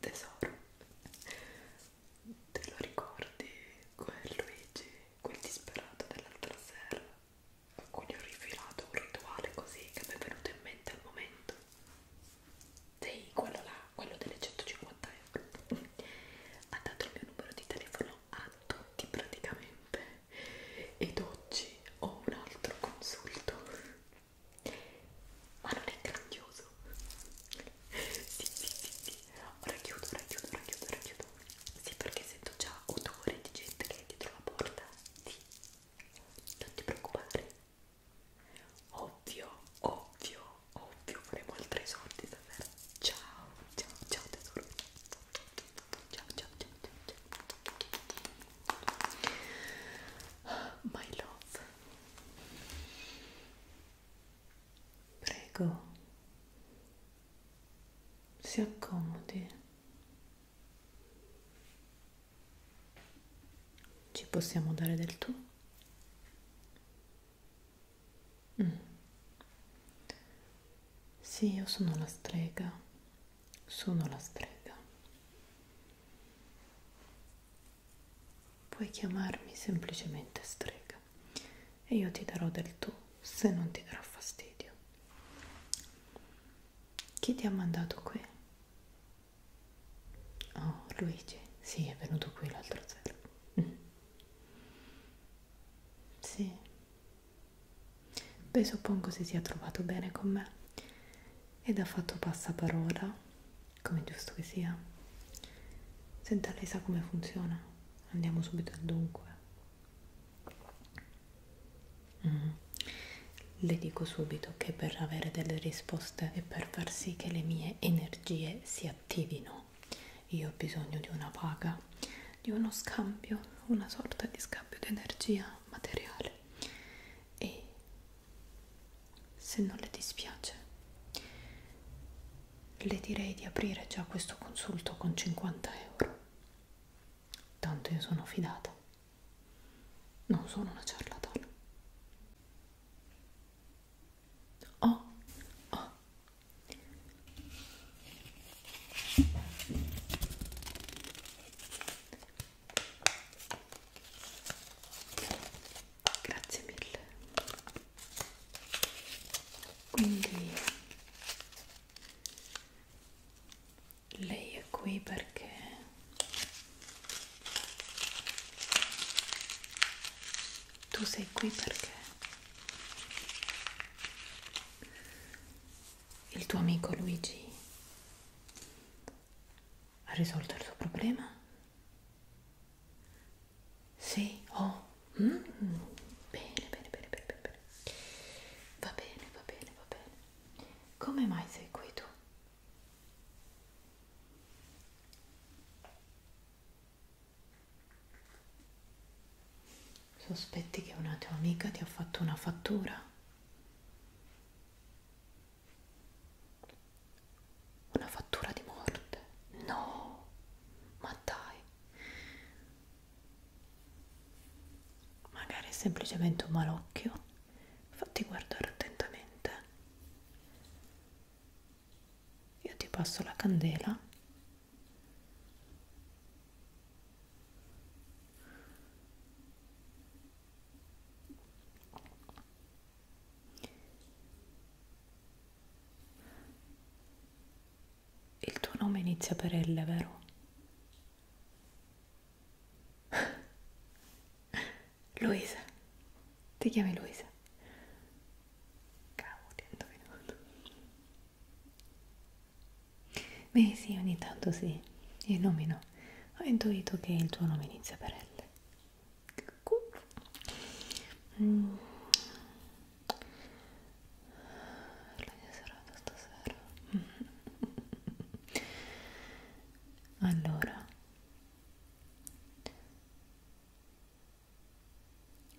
tesoro te lo ricordi quel Luigi quel disperato dell'altra sera a cui ho rifilato un rituale così che mi è venuto in mente al momento sì quello là quello delle 150 euro ha dato il mio numero di telefono a tutti praticamente ed oggi ho un altro consulto ma non è grandioso sì, sì, sì, sì ora chiudo, ora chiudo, ora chiudo, ora chiudo sì, perché sento già odore di gente che è dietro la porta sì, non ti preoccupare ovvio, ovvio, ovvio faremo altri soldi stasera ciao, ciao, ciao tesoro ciao, ciao, ciao, ciao, ciao my love Prego, si accomodi. Ci possiamo dare del tu? Mm. Sì, io sono la strega, sono la strega. Puoi chiamarmi semplicemente strega e io ti darò del tu se non ti darà fastidio. Chi ti ha mandato qui? Oh, Luigi, sì, è venuto qui l'altro sera. Mm. Sì. Beh, suppongo si sia trovato bene con me ed ha fatto passaparola come è giusto che sia. Senta, lei sa come funziona. Andiamo subito al dunque. Mm. Le dico subito che per avere delle risposte e per far sì che le mie energie si attivino, io ho bisogno di una paga, di uno scambio, una sorta di scambio di energia materiale. E se non le dispiace, le direi di aprire già questo consulto con 50 euro. Tanto io sono fidata. Non sono una ciarlatana. Oh, oh grazie mille quindi lei è qui perché tu sei qui perché il tuo amico Luigi ha risolto il suo problema sì, oh, mm. bene, bene, bene, bene, bene, va bene, va bene, va bene. Come mai sei qui tu? Sospetti che una tua amica ti ha fatto una fattura? Una fattura di morte? No, ma dai. Magari è semplicemente un malocchio. Fatti guardare attentamente. Io ti passo la candela. Il tuo nome inizia per L, vero? Luisa, ti chiami Luisa? Cavolo, ti ho indovinato. Beh sì, ogni tanto sì, i nomi no. Ho intuito che il tuo nome inizia per L. Mm. La mia serata stasera. allora.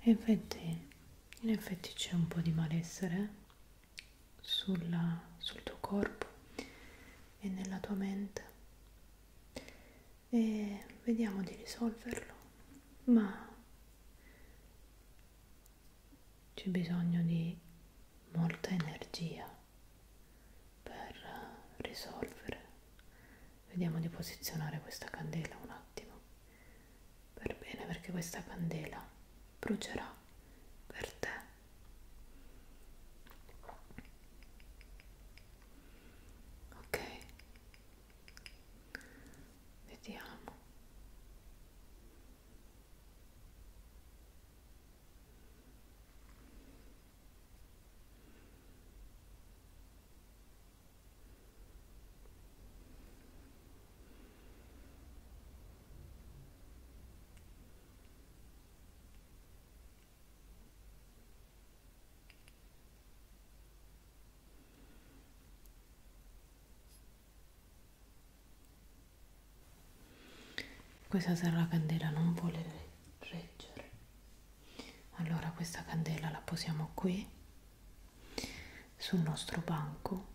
E infatti, in effetti c'è un po' di malessere sulla, sul tuo corpo e nella tua mente e vediamo di risolverlo, ma c'è bisogno di molta energia per risolvere. Vediamo di posizionare questa candela un attimo per bene perché questa candela brucerà per te ok vediamo questa sera la candela non vuole reggere, allora questa candela la posiamo qui sul nostro banco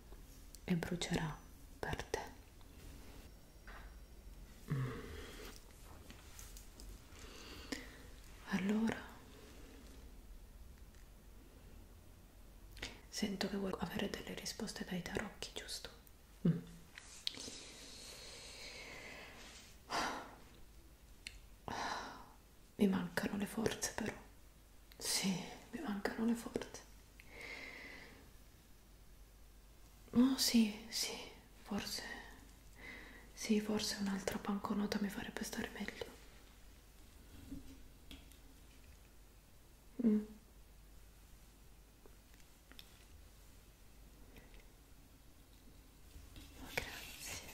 e brucerà per te. Allora, sento che vuoi avere delle risposte dai tarocchi, giusto? Mm. Mi mancano le forze però. Sì, mi mancano le forze. Oh sì, sì, forse. Sì, forse un'altra banconota mi farebbe stare meglio. Mm. Oh, grazie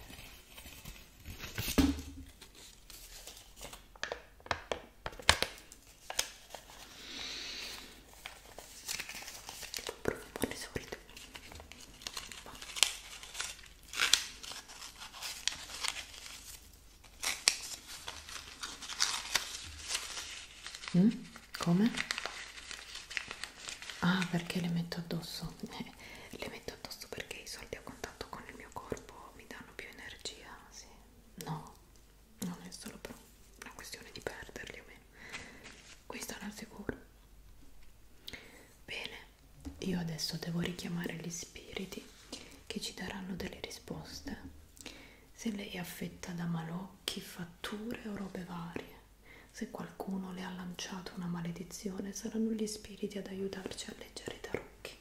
tipo un profumo di solito mm? come? ah perché le metto addosso? Eh, le metto addosso perché i soldi a contatto con il mio corpo mi danno più energia sì. no non è solo per una questione di perderli o meno qui stanno al sicuro bene io adesso devo richiamare gli spiriti che ci daranno delle risposte se lei è affetta da malocchi fatture o robe varie se qualcuno le ha lanciato una maledizione saranno gli spiriti ad aiutarci a leggere i tarocchi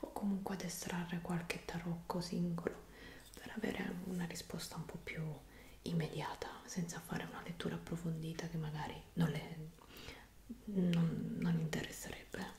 o comunque ad estrarre qualche tarocco singolo per avere una risposta un po' più immediata, senza fare una lettura approfondita che magari non le non, non interesserebbe.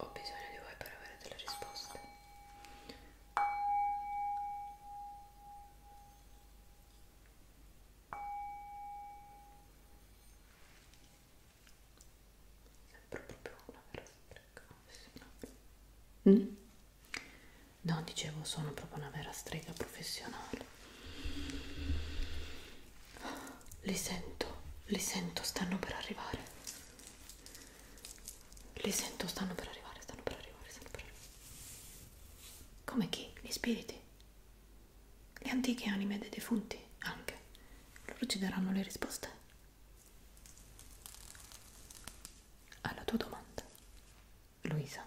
Ho bisogno di voi per avere delle risposte. Sembro proprio una vera strega. Mm? No, dicevo, sono proprio una vera strega professionale. Li sento, li sento, stanno per arrivare. Li sento, stanno per arrivare, stanno per arrivare, stanno per arrivare. Come chi? Gli spiriti? Le antiche anime dei defunti? Anche. Loro ci daranno le risposte alla tua domanda, Luisa.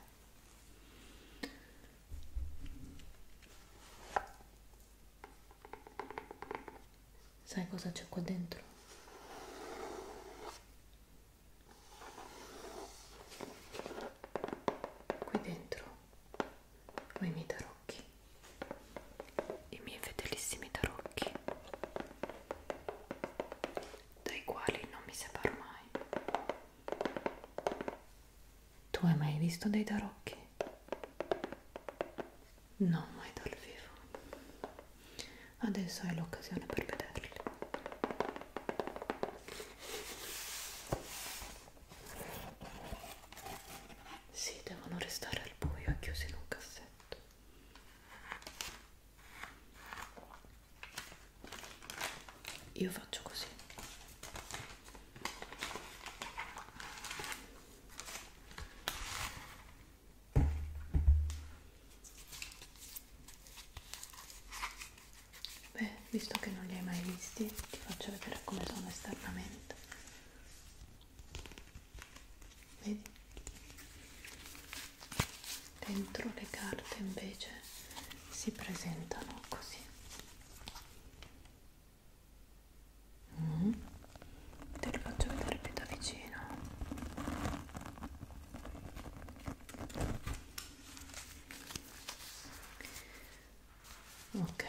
Sai cosa c'è qua dentro? Qui dentro ho i miei tarocchi, i miei fedelissimi tarocchi, dai quali non mi separo mai. Tu hai mai visto dei tarocchi? No, mai dal vivo. Adesso hai l'occasione per vederli. Sì, devono restare al buio, chiusi in un cassetto. Io faccio così. Beh, visto che non li hai mai visti, ti faccio vedere come sono esternamente. Vedi? Dentro le carte invece si presentano così. Mm. Te li faccio vedere più da vicino. Ok.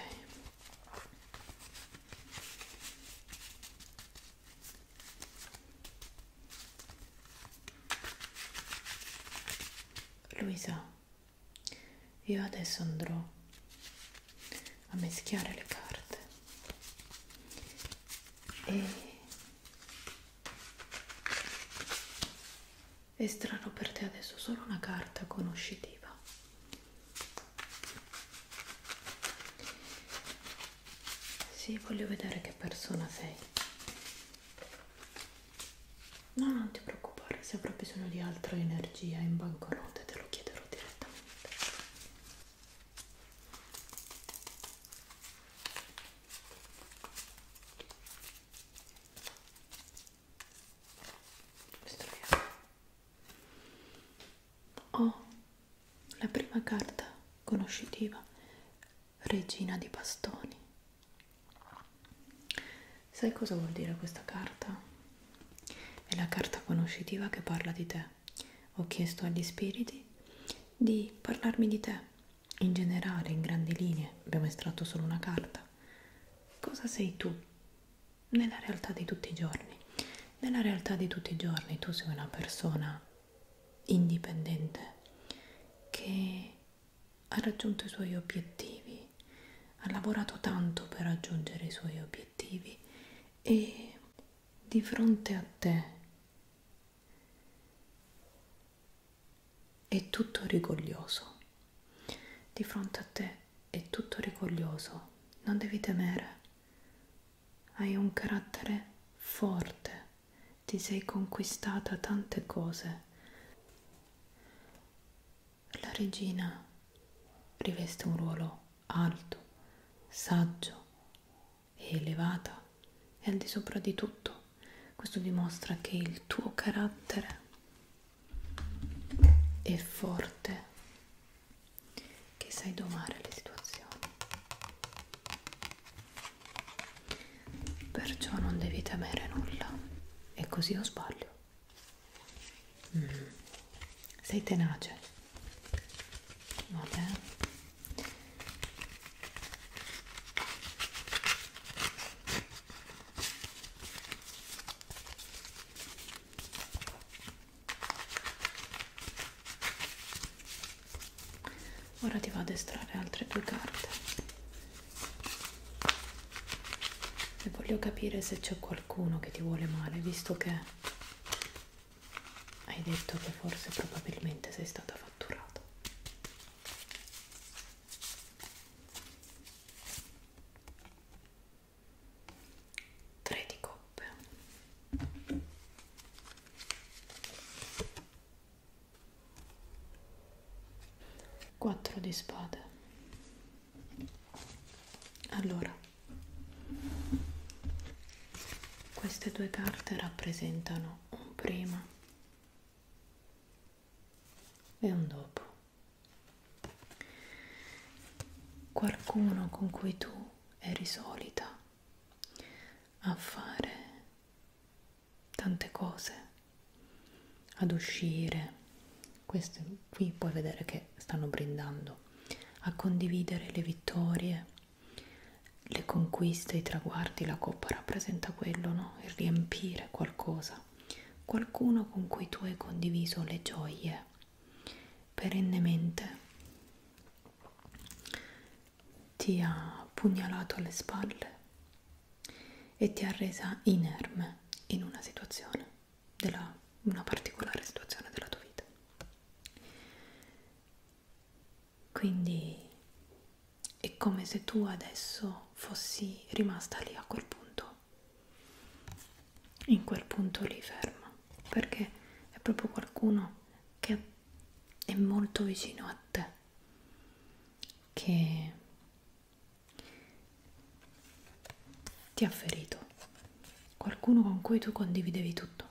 Luisa, io adesso andrò a mischiare le carte e estrarrò per te adesso solo una carta conoscitiva sì, voglio vedere che persona sei No, non ti preoccupare, se avrò bisogno di altra energia in banconote te lo chiederò direttamente. Estraiamo. Oh, la prima carta conoscitiva, Regina di Bastoni. Sai cosa vuol dire questa carta? È la carta conoscitiva che parla di te. Ho chiesto agli spiriti di parlarmi di te, in generale, in grandi linee. Abbiamo estratto solo una carta. Cosa sei tu? Nella realtà di tutti i giorni. Nella realtà di tutti i giorni tu sei una persona indipendente che ha raggiunto i suoi obiettivi, ha lavorato tanto per raggiungere i suoi obiettivi e di fronte a te è tutto rigoglioso. Di fronte a te è tutto rigoglioso, non devi temere. Hai un carattere forte, ti sei conquistata tante cose. La regina riveste un ruolo alto, saggio e elevata e al di sopra di tutto. Questo dimostra che il tuo carattere è forte, che sai domare le situazioni. Perciò non devi temere nulla. E così o sbaglio. Mm. Sei tenace. Vabbè. Ora ti vado a estrarre altre due carte e voglio capire se c'è qualcuno che ti vuole male visto che hai detto che forse probabilmente sei stata fatturata tre di coppe 4 di spade allora queste due carte rappresentano un prima e un dopo qualcuno con cui tu eri solita a fare tante cose ad uscire questi qui puoi vedere che stanno brindando a condividere le vittorie le conquiste i traguardi la coppa rappresenta quello no il riempire qualcosa qualcuno con cui tu hai condiviso le gioie perennemente ti ha pugnalato alle spalle e ti ha resa inerme in una situazione, della, una particolare situazione della tua vita. Quindi è come se tu adesso fossi rimasta lì a quel punto, in quel punto lì ferma, perché è proprio qualcuno che è molto vicino a te, che ti ha ferito qualcuno con cui tu condividevi tutto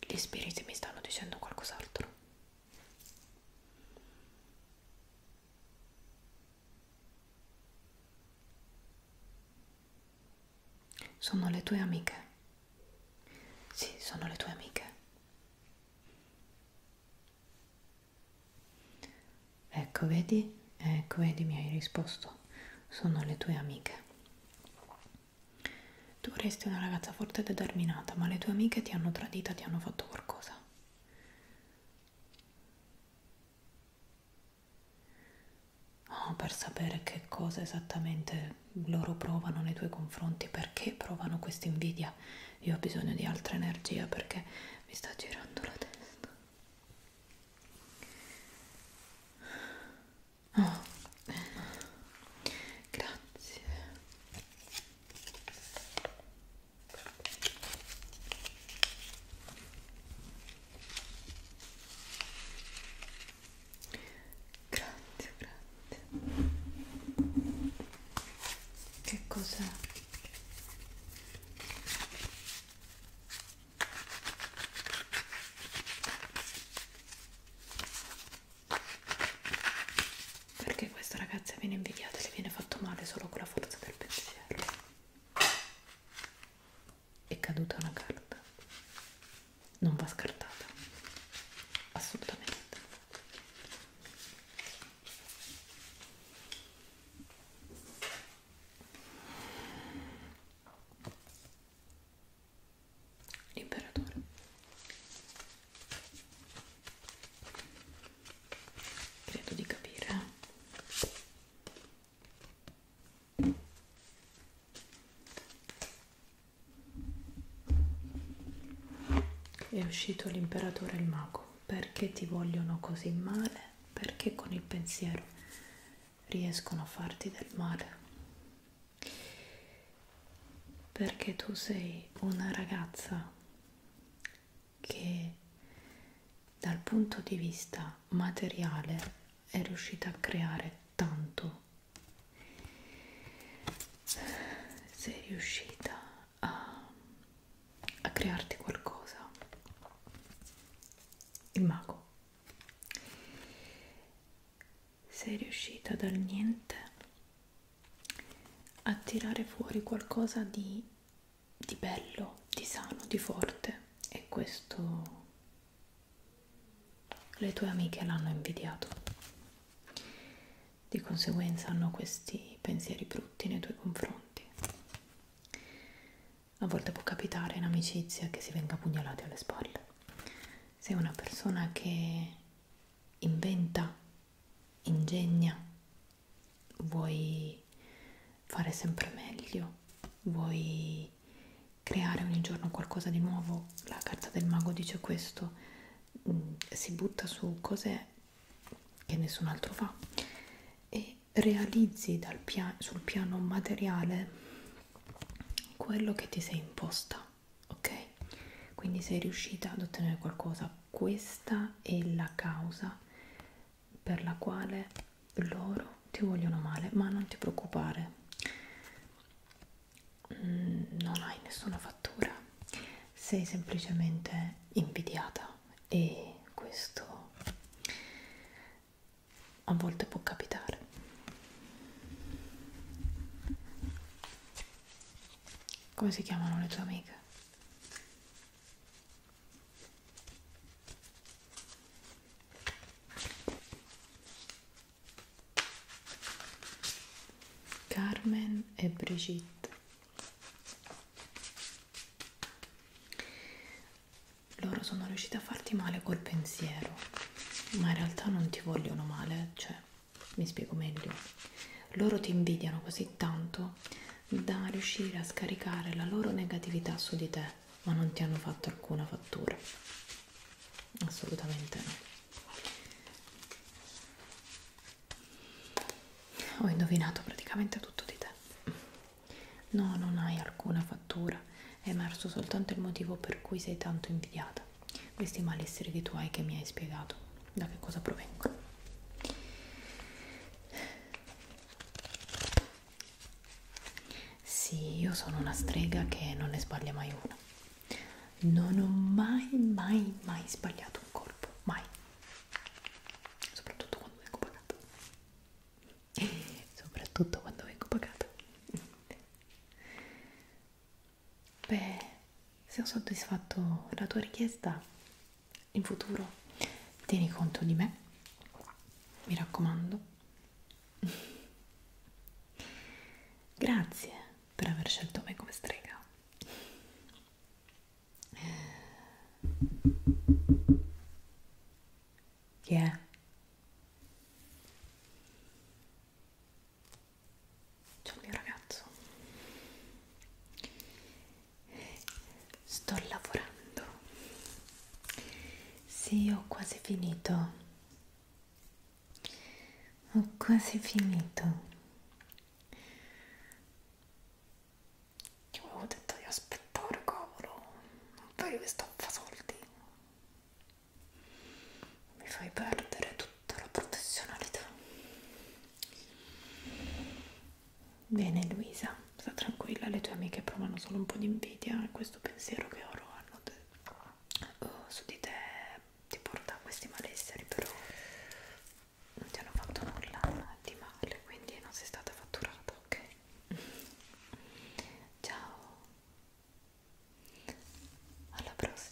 gli spiriti mi stanno dicendo qualcos'altro sono le tue amiche. Sì, sono le tue amiche. Ecco, vedi? Ecco, vedi, mi hai risposto. Sono le tue amiche. Tu resti una ragazza forte e determinata, ma le tue amiche ti hanno tradita, ti hanno fatto qualcosa oh, per sapere che cosa esattamente loro provano nei tuoi confronti, perché provano questa invidia. Io ho bisogno di altra energia perché mi sta girando la testa. Oh. Grazie. Grazie, grazie. Che cos'è? Perché questa ragazza viene invidiata e le viene fatto male solo con la forza del pensiero è caduta una carta non va scartata assolutamente l'imperatore credo di capire è uscito l'imperatore e il mago. Perché ti vogliono così male? Perché con il pensiero riescono a farti del male? Perché tu sei una ragazza che dal punto di vista materiale è riuscita a creare tanto sei riuscita a, a crearti qualcosa il mago sei riuscita dal niente a tirare fuori qualcosa di di bello, di sano, di forte e questo le tue amiche l'hanno invidiato. Di conseguenza hanno questi pensieri brutti nei tuoi confronti. A volte può capitare in amicizia che si venga pugnalati alle spalle. Sei una persona che inventa, ingegna, vuoi fare sempre meglio, vuoi creare ogni giorno qualcosa di nuovo, la carta del mago dice questo, mm, si butta su cose che nessun altro fa e realizzi dal pia sul piano materiale quello che ti sei imposta, ok? Quindi sei riuscita ad ottenere qualcosa, questa è la causa per la quale loro ti vogliono male, ma non ti preoccupare, mm, non hai nessuna fattura, sei semplicemente invidiata e questo a volte può capitare. Come si chiamano le tue amiche? Carmen e Brigitte loro sono riusciti a farti male col pensiero ma in realtà non ti vogliono male cioè mi spiego meglio loro ti invidiano così tanto da riuscire a scaricare la loro negatività su di te, ma non ti hanno fatto alcuna fattura. Assolutamente no. Ho indovinato praticamente tutto di te. No, non hai alcuna fattura, è emerso soltanto il motivo per cui sei tanto invidiata. Questi malesseri di tuoi che mi hai spiegato, da che cosa provengono? Sì, io sono una strega che non ne sbaglia mai una. Non ho mai, mai, mai sbagliato un colpo, mai. Soprattutto quando vengo pagata. Soprattutto quando vengo pagata. Beh, se ho soddisfatto la tua richiesta, in futuro tieni conto di me mi raccomando grazie per aver scelto me come strega chi yeah. Ciao mio ragazzo sto lavorando sì ho quasi finito ho quasi finito io avevo detto di aspettare cavolo non fai che stoffa soldi mi fai perdere tutta la professionalità Bene Luisa, sta tranquilla, le tue amiche provano solo un po' di invidia e questo pensiero che oro hanno te, oh, eh, su di te ti porta a questi malesseri, però non ti hanno fatto nulla di male, quindi non sei stata fatturata, ok? Ciao, alla prossima.